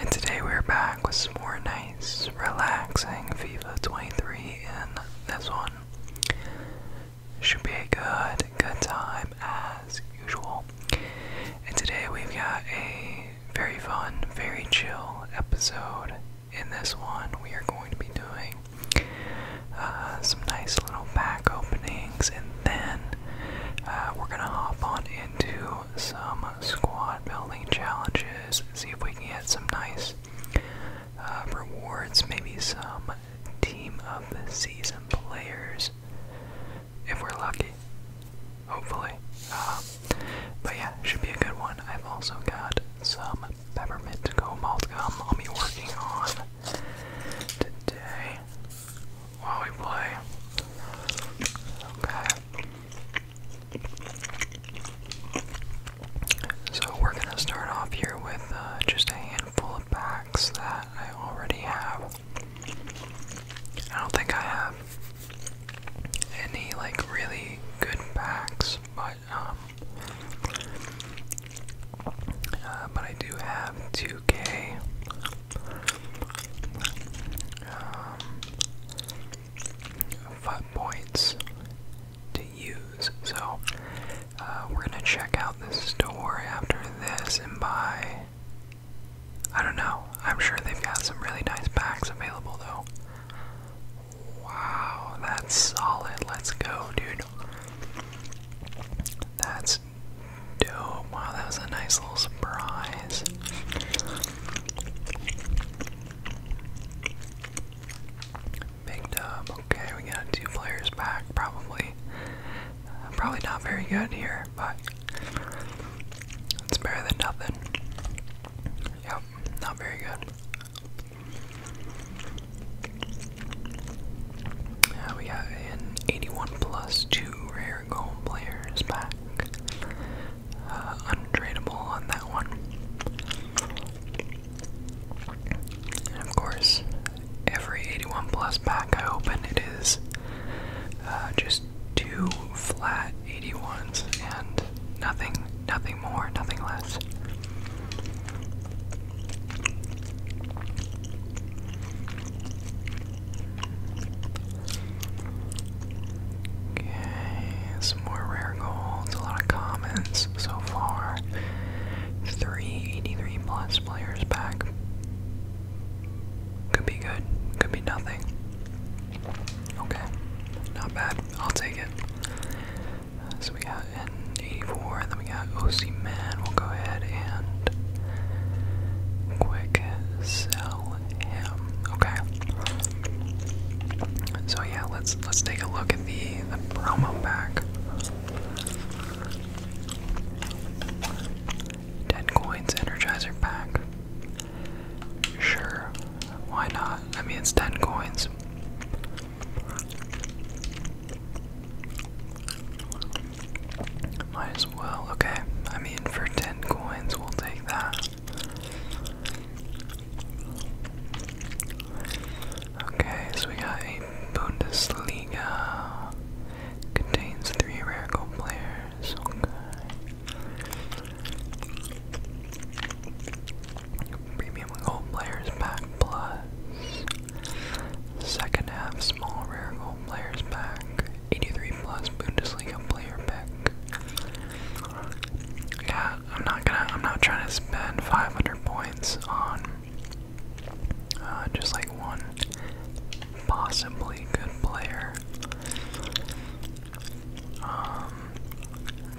And today we're back with some more nice, relaxing FIFA 23 in this one. Should be a good, good time as usual. And today we've got a very fun, very chill episode. In this one, we are going to be doing uh, some nice little back openings and then uh, we're gonna hop on into some squad building challenges, see if we can get some nice uh, rewards, maybe some team of the season players, if we're lucky, hopefully. Uh, but yeah, should be a good one. I've also got some peppermint malt gum I'll be working on today while we Okay. So we're gonna start off here with uh, just a handful of packs that I already have. I don't think I have any like really good packs, but um, uh, but I do have 2K um, points to use. So uh, we're gonna check out this store after this and buy. I don't know. I'm sure they've got some really nice packs available though. Wow, that's solid. Let's go, dude. That's dope. Wow, that was a nice little surprise. Big dub. Okay, we got two players back, probably. probably not very good here, but it's better than nothing. Yep, not very good. Uh, we got an 81 plus 2 rare their players back. Uh, untradeable on that one. And of course, every 81 plus pack I open, it is uh, just two flat 81s and nothing, nothing more, nothing less. Okay, some more rare golds, a lot of comments so far. 383 plus players back. Could be good, could be nothing. Okay, not bad. I'll take it. so we got N 84, and then we got OC Man. We'll go ahead and quick sell Okay. So yeah, let's let's take a look at the the promo pack. Ten coins energizer pack. Sure, why not? I mean it's ten coins. Might as well. Okay, I mean, for 10 coins, we'll take that. Okay, so we got a Bundesliga. Contains three rare gold players. Premium gold players pack plus. Second half small rare gold players pack. 83 plus Bundesliga player pick. Yeah, I'm not gonna. I'm not trying to spend 500 points on uh, just like one possibly good player. Um,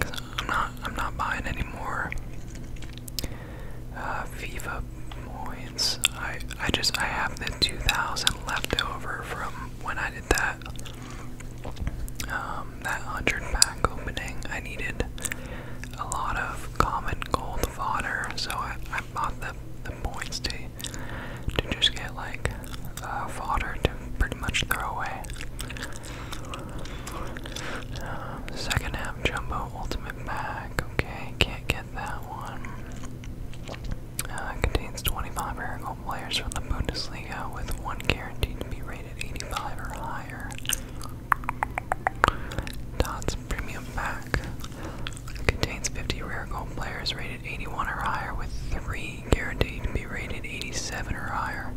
i I'm not. I'm not buying any more uh, FIFA points. I. I just. I have the 2,000 left over from when I did that, um, that 100 pack opening, I needed a lot of common gold fodder, so I, bought the, the points to, to just get like uh, fodder to pretty much throw away. Uh, second half jumbo ultimate pack, okay, can't get that one. Uh, contains 25 rare gold players from the Bundesliga, with one guaranteed to be rated 85 or higher. Dots Premium Pack contains 50 rare gold players rated 81 or higher, with three guaranteed to be rated 87 or higher,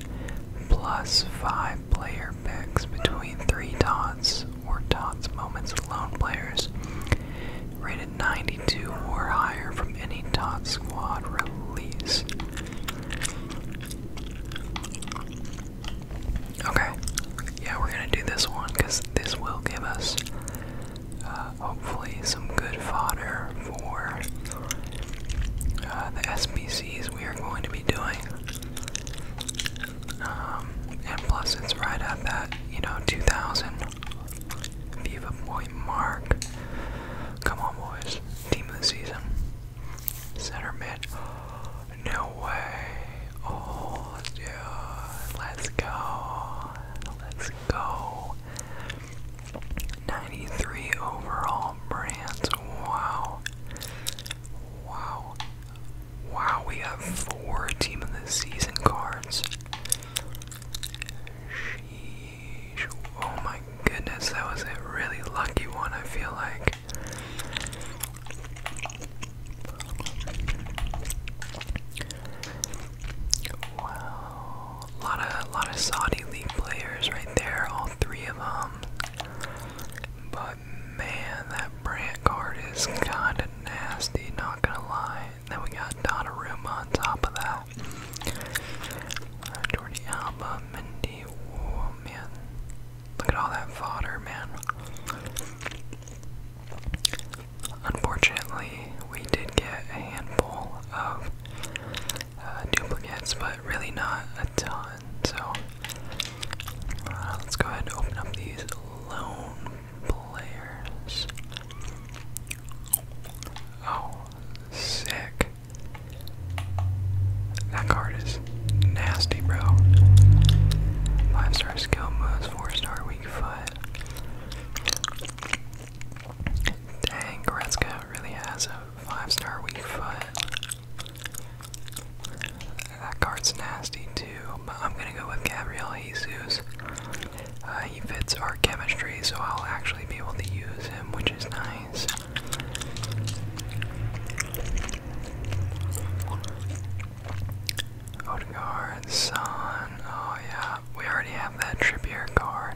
plus five player picks between three dots or dots moments alone players. Rated 92 or higher from any Tot Squad release. Okay, yeah, we're gonna do this one because this will give us uh, hopefully some good fodder for uh, the SPCs we are going to be doing. Um, and plus, it's right at that, you know, 2000 Viva boy Mark. Come on boys. Team of the season. Center mid. No way. Oh let Let's go. Let's go. 93 overall brands. Wow. Wow. Wow, we have four team of the season cards. Sheesh. Oh my goodness, that was a really lucky one, I feel like. Wow. A lot of, a lot of Saudi League players right there, all three of them. But man, that brand card is kinda nasty, not gonna lie. Then we got Donnarumma on top of that. Uh, Jordi Alba, Mendy, oh man. Look at all that fodder, man. Unfortunately, we did get a handful of uh, duplicates, but really not a ton. So uh, let's go ahead and open up these loan players. Oh, sick. That card is nasty, bro. 5 star skill moves, 4 star weak foot. Dang, Goretzka really has a 5 star weak foot. That card's nasty too, but I'm gonna go with Gabriel Jesus. Uh, he fits our chemistry, so I'll actually be able to use him, which is nice. Odegaard, Son, oh yeah, we already have that Trippier card.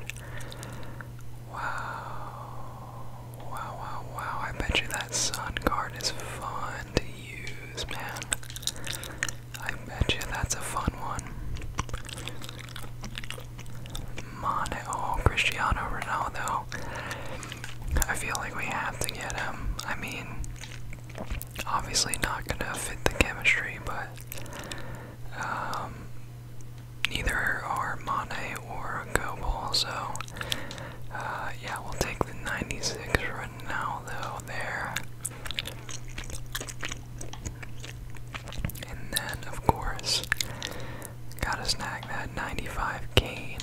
Wow, wow, wow, wow, I bet you that Son card is fun to use, man. I bet you that's a fun one. Mane, oh, Cristiano Ronaldo. I feel like we have to get him. I mean, obviously not gonna fit the chemistry, but um, neither are Mane or Goble, so uh, yeah, we'll take the 96 Ronaldo there. And then, of course, gotta snag that 95 gain.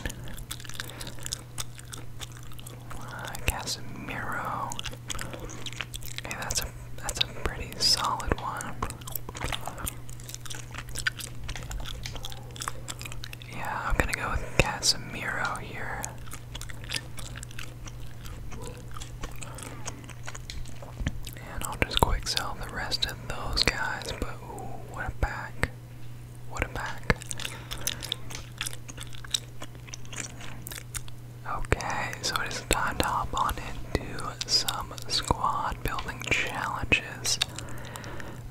Uh, Hey, that's a that's a pretty solid one. Yeah, I'm gonna go with Casemiro here. And I'll just quick sell the rest of those guys, but ooh, what a pack. What a pack. Okay, so it is time to hop on into some squad building challenges.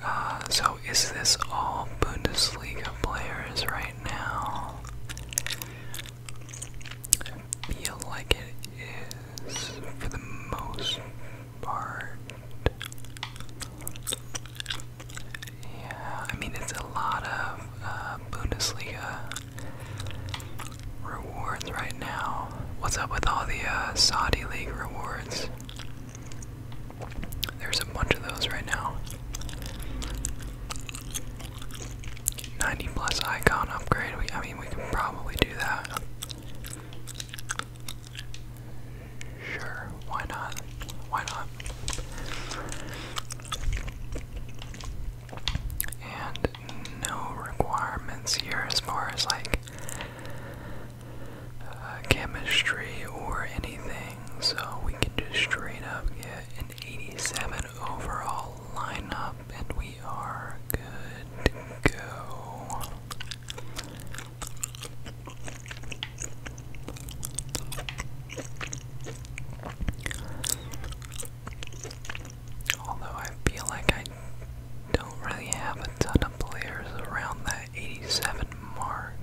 Uh, so is this all Bundesliga players right now? I feel like it is for the most part. Yeah, I mean, it's a lot of uh, Bundesliga rewards right now. What's up with all the uh, Saudi League rewards? There's a bunch of those right now. 90 plus icon upgrade. I mean, we can probably do that. Sure, why not? Why not? And no requirements here as far as like uh, chemistry or anything, so we can just straight up get 87 overall lineup, and we are good to go. Although I feel like I don't really have a ton of players around that 87 mark.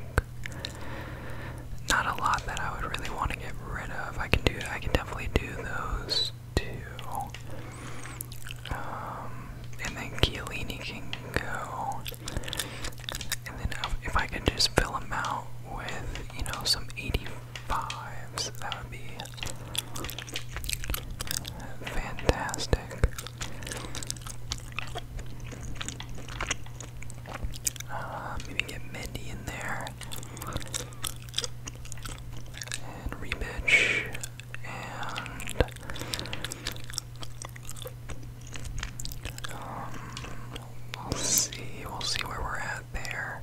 Not a lot that I would really want to get rid of. I can do I can definitely do those two. Um, and then Chiellini can go. And then if I can just fill them out with, you know, some 85s, that would be fantastic. Uh, maybe get Mindy in there. And rematch. And um, we'll see. We'll see where we're at there.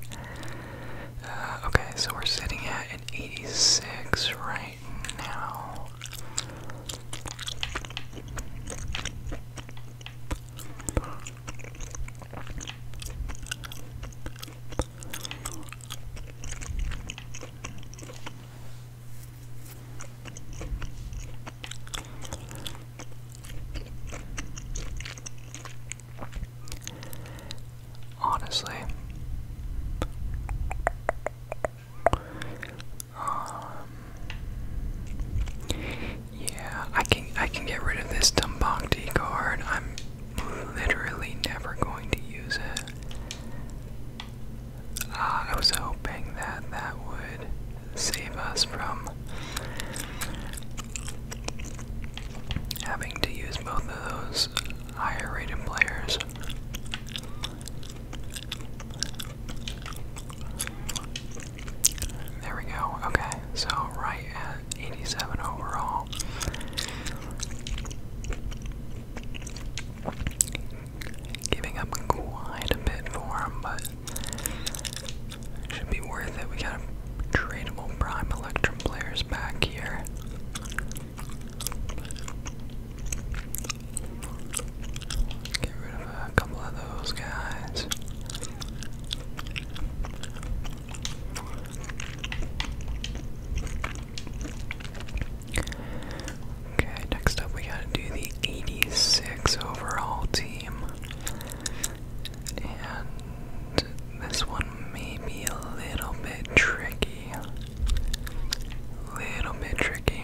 Uh, okay, so we're sitting at an 86 right now. Honestly, um, yeah, I can I can get rid of this Dumbakti card. I'm literally never going to use it. Uh, I was hoping that that would save us from having to use both of those higher rated players. There we go. Okay, so right 87 overall. Giving up quite a bit for him, but should be worth it. We got tradable prime Electrum players back here. Get rid of a couple of those guys. Okay, next up we gotta do the 86 overall team. And this one may be a little bit tricky. Little bit tricky.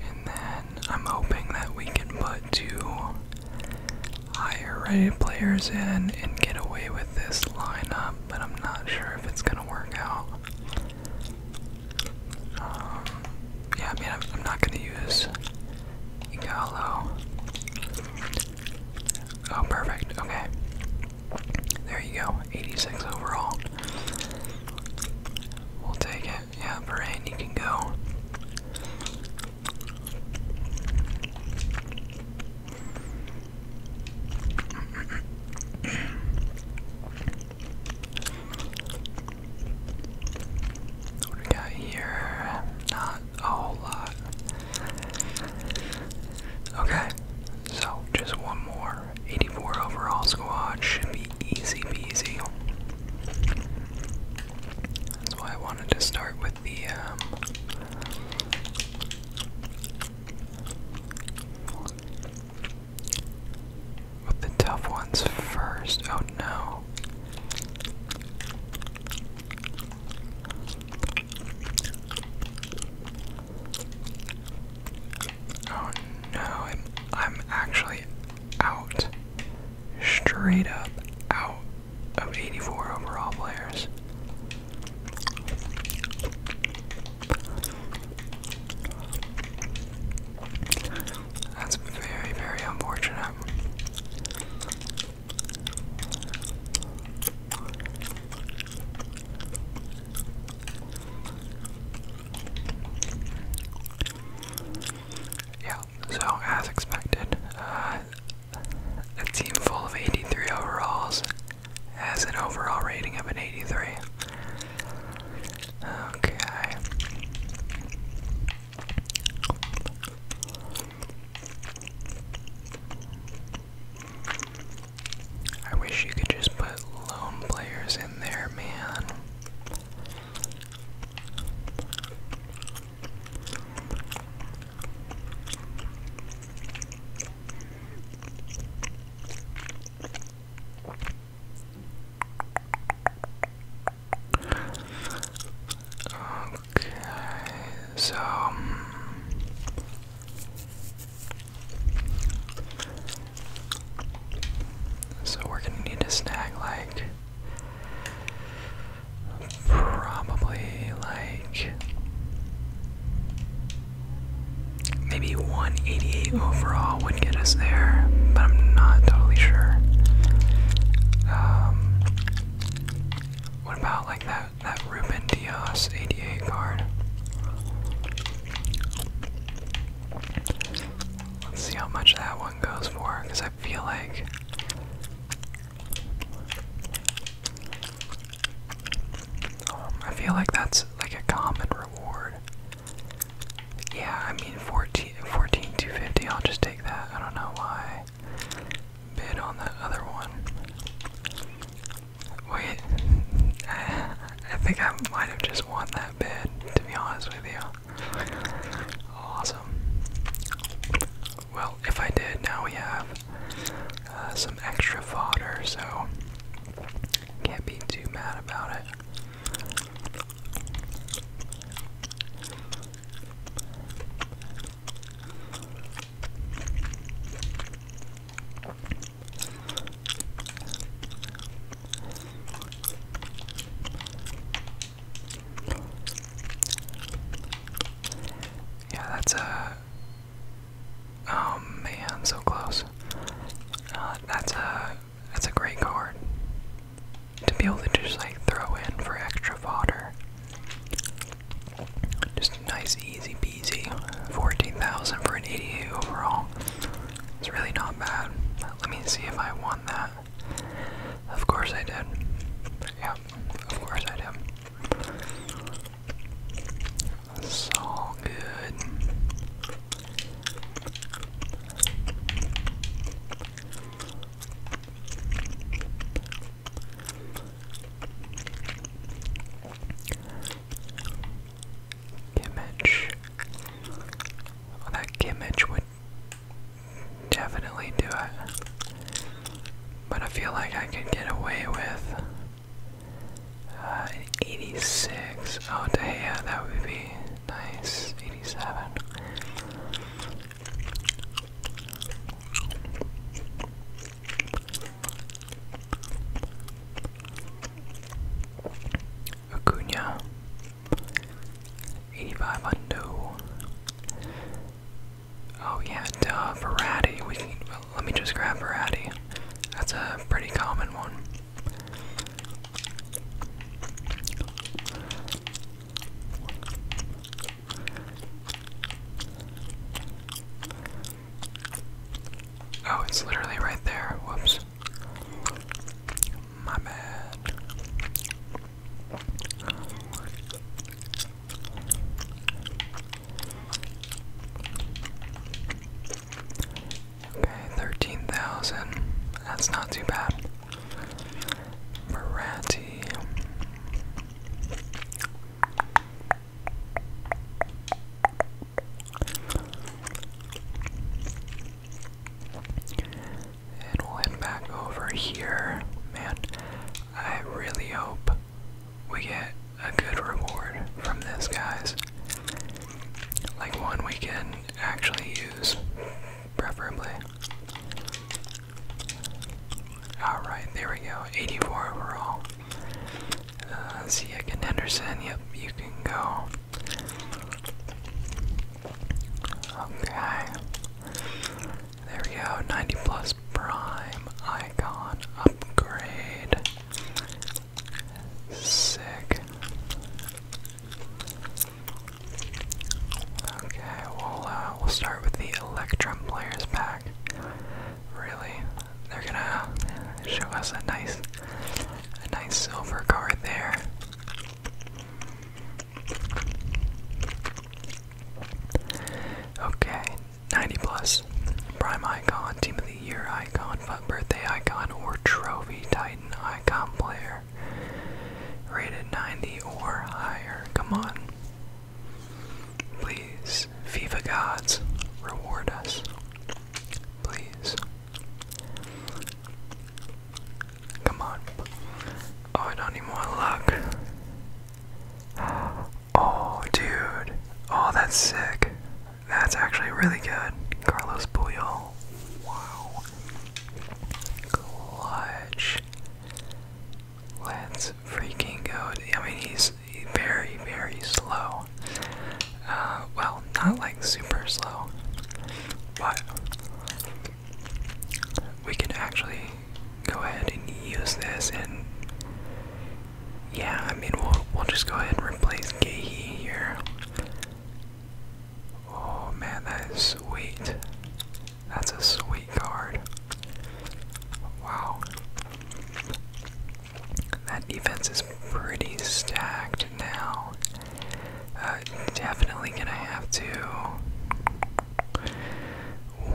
And then I'm hoping that we can put two higher rated players in and get away with this lineup, but I'm not sure if it's gonna work out. Um, yeah, I mean, I'm, not gonna use Igalo. Oh, perfect. Okay. There you go. 86 overall. We'll take it. Yeah, Varane, you can go. What we got here? Not a whole lot. Okay, so just one more. 84 overall squad should be easy peasy. That's why I wanted to start with the um, with the tough ones first. Oh no. Oh no, I'm, I'm actually out. Straight up out of 84 overall players. That's very, very unfortunate. Yeah, so as expected, uh, a team full of 83 overalls has an overall rating of an 83. Okay. I wish you could just put lone players in there, man. Okay, so um, so we're gonna need a snag like probably like maybe 188 overall would get us there, but I'm not totally sure. Um, what about like that that, that Ruben Diaz ADA card. Let's see how much that one goes for, because I feel like um, I feel like that's like a common reward. Yeah, I mean 14, 14 250, I'll just take that. I don't know why. Bid on that other one. Wait, I, think I might have just won that bid, to be honest with you. Awesome. Well, if I did, now we have uh, some extra fodder, so can't be too mad about it. Yeah, that's a. Uh, oh man, so close. Uh, that's a uh, that's a great card to be able to just like throw in for extra fodder. Just nice, easy peasy. 14,000 for an 88 overall. It's really not bad. Let me see if I won that. Of course I did. Yeah, of course I did. It's all good. Kimmich. that Kimmich would definitely do it. But I feel like I could get away with uh, 86. Oh, yeah, that would be nice. 87. Acuna, 85 Oh yeah, duh, let me just grab Verratti. That's a pretty common one. Oh, it's literally right there. Whoops. My bad. Okay, 13,000. That's not too bad. Maratti. And we'll head back over here. Man, I really hope we get a good reward from this, guys. Like one we can actually use, preferably. Alright, there we go. 84 overall. Uh, see can understand. Yep, you can go. Okay. There we go. 90 plus prime icon upgrade. Sick. Okay, we'll uh, we'll start with the Electrum players pack. Really, they're gonna show us a nice, a nice silver card there. Okay, 90 plus. Prime icon, team of the year icon, fun birthday icon, or trophy titan icon player. Rated 90 or higher. Come on. Please, FIFA gods, reward us. Please. Come on. Oh, I don't even want luck. Oh, dude. Oh, that's sick. That's actually really good. Carlos Puyol. Wow. Clutch. Let's freaking go. I mean, he's very, very slow. Uh, well, not like super slow, but we can actually go ahead and use this and yeah, I mean we'll we'll just go ahead and replace Gehi here. Oh man, that is sweet. That's a sweet card. Wow. That defense is pretty stacked now. Uh, definitely gonna have to.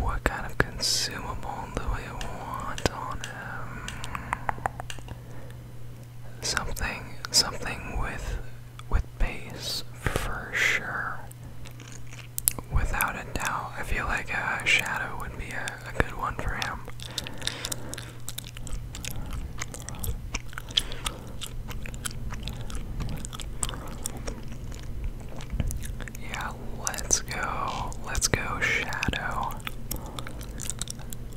What kind of consumable do we want on him? Something, something with with base for sure. Without a doubt, I feel like a shadow would be a a good one for him. Yeah, let's go. Let's go shadow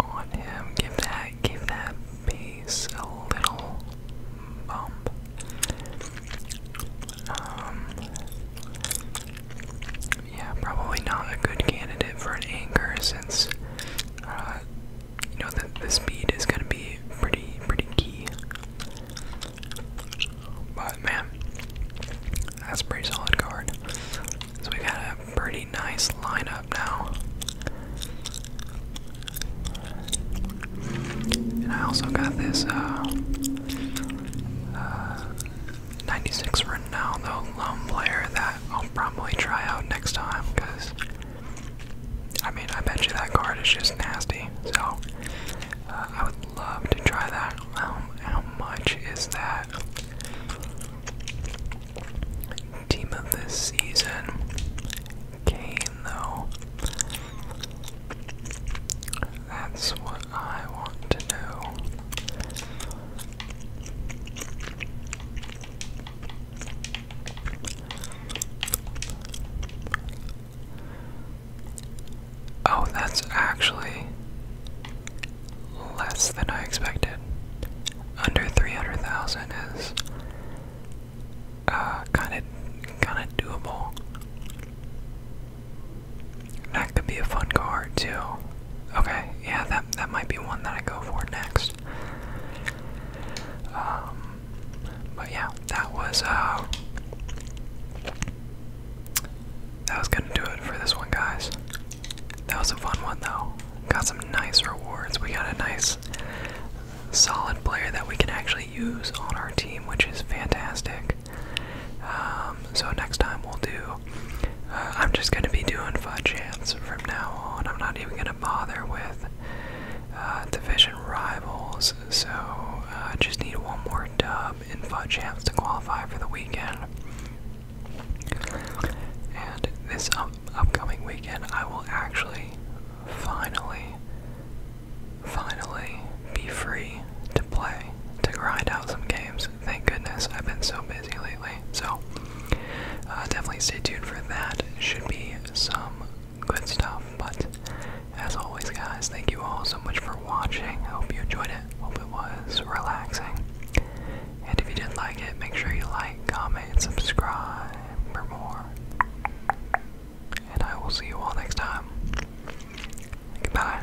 on him. Give that give that base a little bump. Um, yeah, probably not a good candidate for an anchor since, uh, you know, that the speed is going to be pretty, pretty key. But man, that's a pretty solid card. So we got a pretty nice lineup now. And I also got this, uh, uh 96 now, though. lone player that I'll probably try out next time, because I mean, I bet you that card is just nasty. So uh, I would love to try that. Um, how much is that? Team of this season, Kane though. That's what I want to know. Oh, that's actually less than I expected. Under 300,000 is kind of kind of doable. That could be a fun card too. Okay, yeah, that that might be one that I go for next. Um, but yeah, that was uh, that was gonna do it for this one, guys. That was a fun one though. Got some nice rewards. We got a nice, solid player that we can actually use on our team, which is fantastic. Um, so next time we'll do I'm just gonna be doing fudge hams from now on. I'm not even gonna bother with uh, division rivals. So uh, I just need one more dub in fudge to qualify for the weekend. And this upcoming weekend, I will actually finally, finally be free to play, to grind out some games. Thank goodness, I've been so busy lately. So, uh, definitely stay tuned for that. Should be some good stuff. But, as always, guys, thank you all so much for watching. I hope you enjoyed it. Hope it was relaxing. And if you did like it, make sure you like, comment, and subscribe for more. And I will see you all next time. Goodbye.